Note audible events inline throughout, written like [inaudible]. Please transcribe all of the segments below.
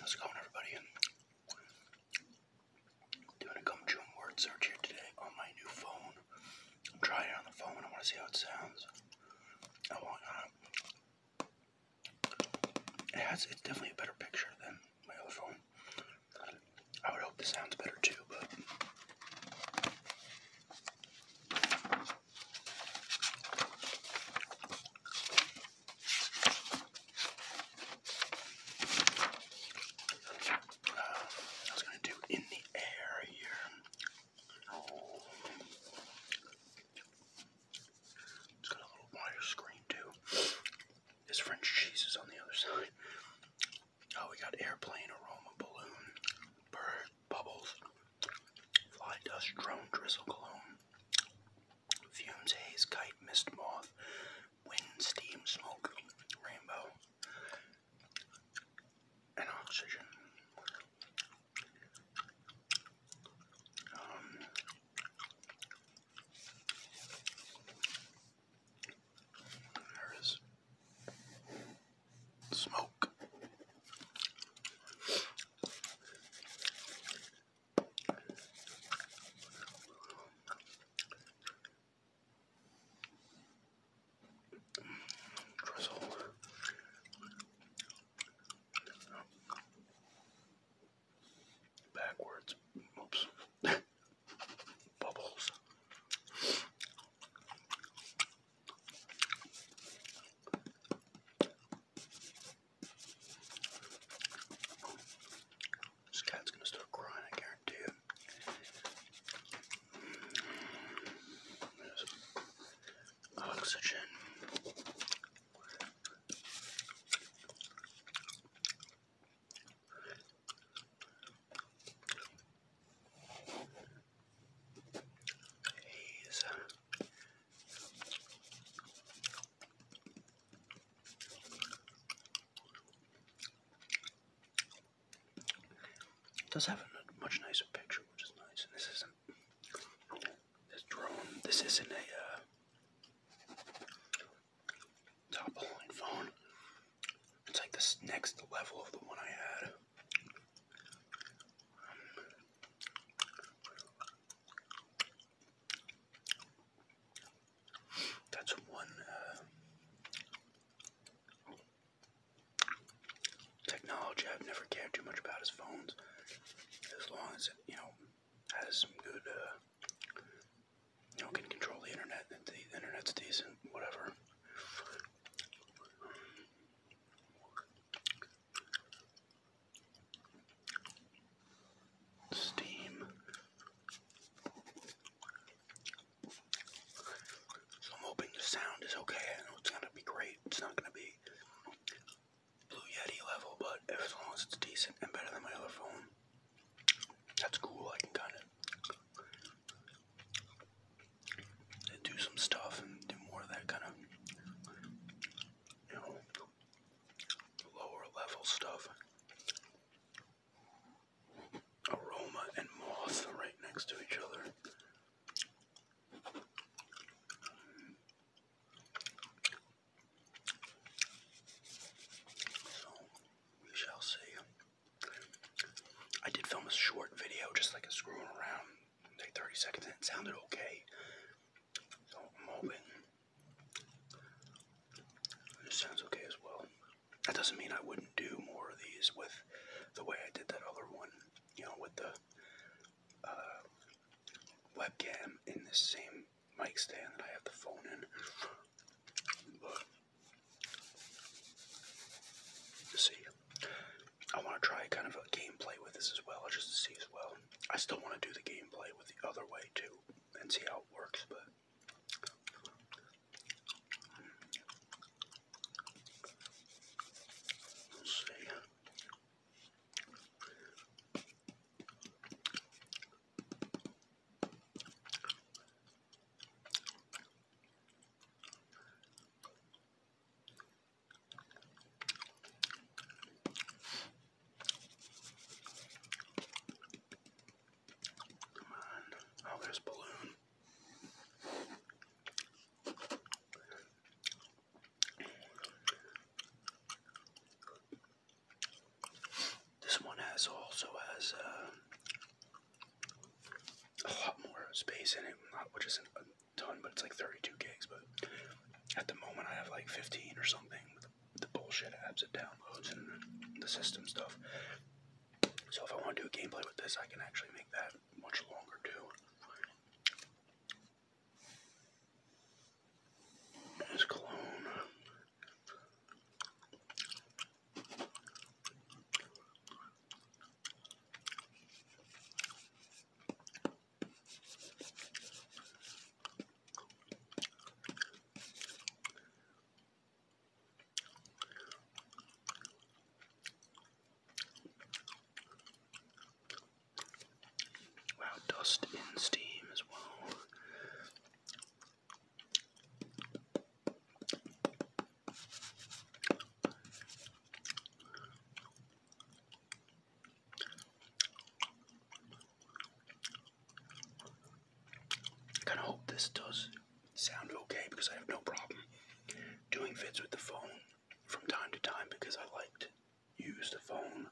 How's it going, everybody? doing a gum chewing word search here today on my new phone. I'm trying it on the phone. I want to see how it sounds. I want. Uh, it has. It's definitely a better picture than my other phone. I would hope this sounds better too, but I was going to do in the air here. It's got a little wider screen too. This French cheese is on the other side. Oh, we got airplane, aroma, balloon, bird, bubbles, fly dust, drone, drizzle, cologne, fumes, haze, kite, mist, moth, wind, steam, smoke, rainbow, and oxygen. Um, there is smoke. Drizzle. Backwards. Oops. [laughs] bubbles. This cat's gonna start crying, I guarantee it. oxygen. He's does have a much nicer picture, which is nice. And this isn't this drone. This isn't a uh, top line phone. It's like this next level of the one I had. Um, that's one uh, technology I've never cared too much about is phones. As long as it, you know, has some good uh, you know, can control the internet, the internet's decent, whatever. Steam. So I'm hoping the sound is okay. I know it's gonna be great. It's not gonna be Blue Yeti level, but as long as it's decent and better than my other phone, that's cool. I can kind of do some stuff and do more of that kind of, you know, lower level stuff. Aroma and moth right next to each other. So we shall see. I did film a short video, just like a screwing around, like 30 seconds, and it sounded okay. So I'm hoping this sounds okay as well. That doesn't mean I wouldn't do more of these with the way I did that other one, you know, with the uh, webcam in the same mic stand that I have the phone in. see, I want to try kind of a gameplay with this as well, just to see as well. I still want to do the gameplay with the other way too, and see how it works, but. see. Oh, there's balloon. This one has also has uh, a lot more space in it, not which isn't a ton, but it's like 32 gigs. But at the moment, I have like 15 or something with the bullshit apps it downloads and the system stuff. So if I want to do a gameplay with this, I can actually make that much longer too. There's cologne. Wow, dust and steam as well. I kind of hope this does sound okay because I have no problem doing vids with the phone from time to time because I like to use the phone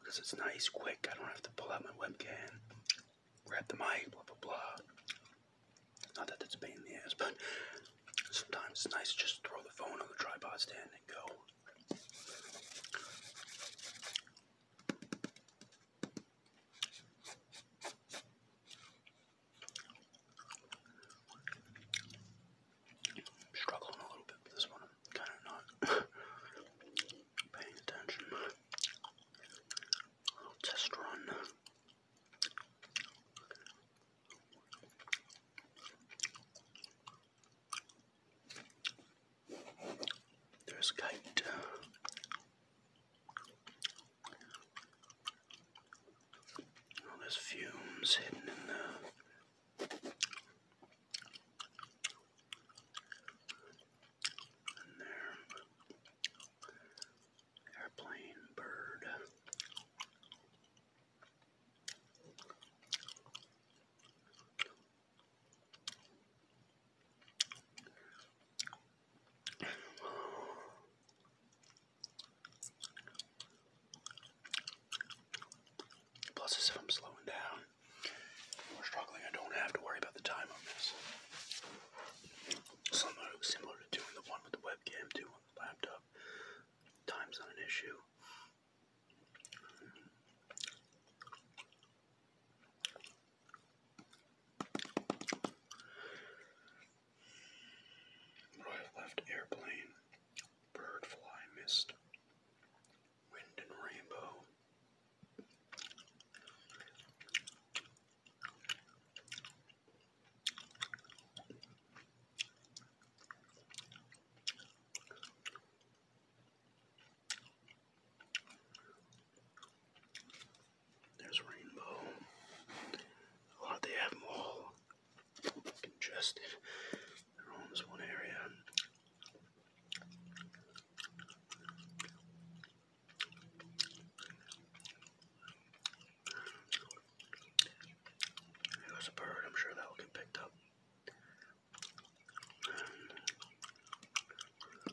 because it's nice, quick. I don't have to pull out my webcam, grab the mic, blah blah blah. Not that that's a pain in the ass, but sometimes it's nice to just throw the phone on the tripod stand and go i struggling a little bit with this one. kind of not paying attention. little test run. There's kite. All oh, those fumes hidden in the there. Airplane bird. Plus, as if I'm slowing down or struggling, I don't have to worry about the time on this. Similar, similar to doing the one with the webcam, doing on the laptop. Time's not an issue. Royal left airplane, bird fly mist, wind and rainbow. There's Rainbow. A lot they have them all congested. they one area. There a bird, I'm sure that will get picked up.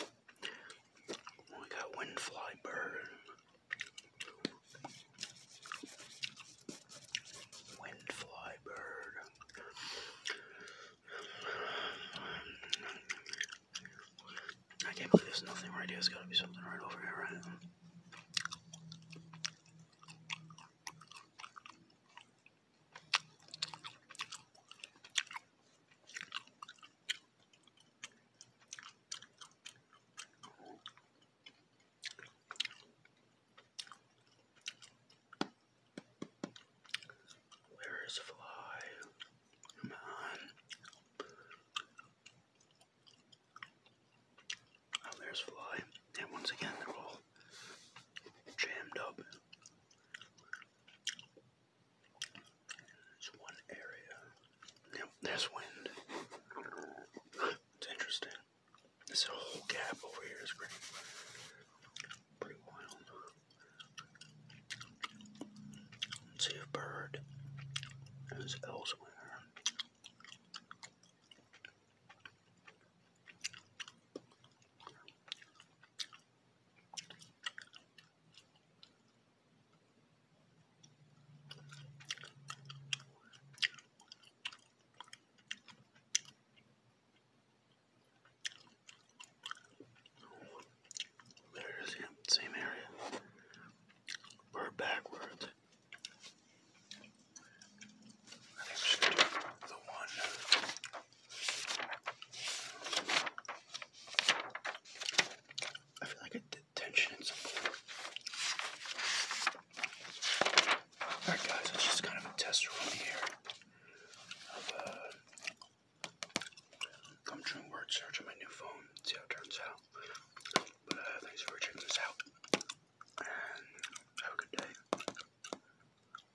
Oh, we got windfly bird. I can't believe there's nothing right here. There's gotta be something right over here, right? Where is Fly? Come on. Oh, there's Fly. And once again, they're all jammed up. There's one Yep, there's wind. It's interesting. This whole gap over here is pretty, pretty wild. see a bird is elsewhere. There's him, same area. We're backwards. I think we should do the one I feel like I did tension in something. Alright guys, it's just kind of a test run here of uh, i search my new phone, see how it turns out. But uh, thanks for checking this out, and have a good day.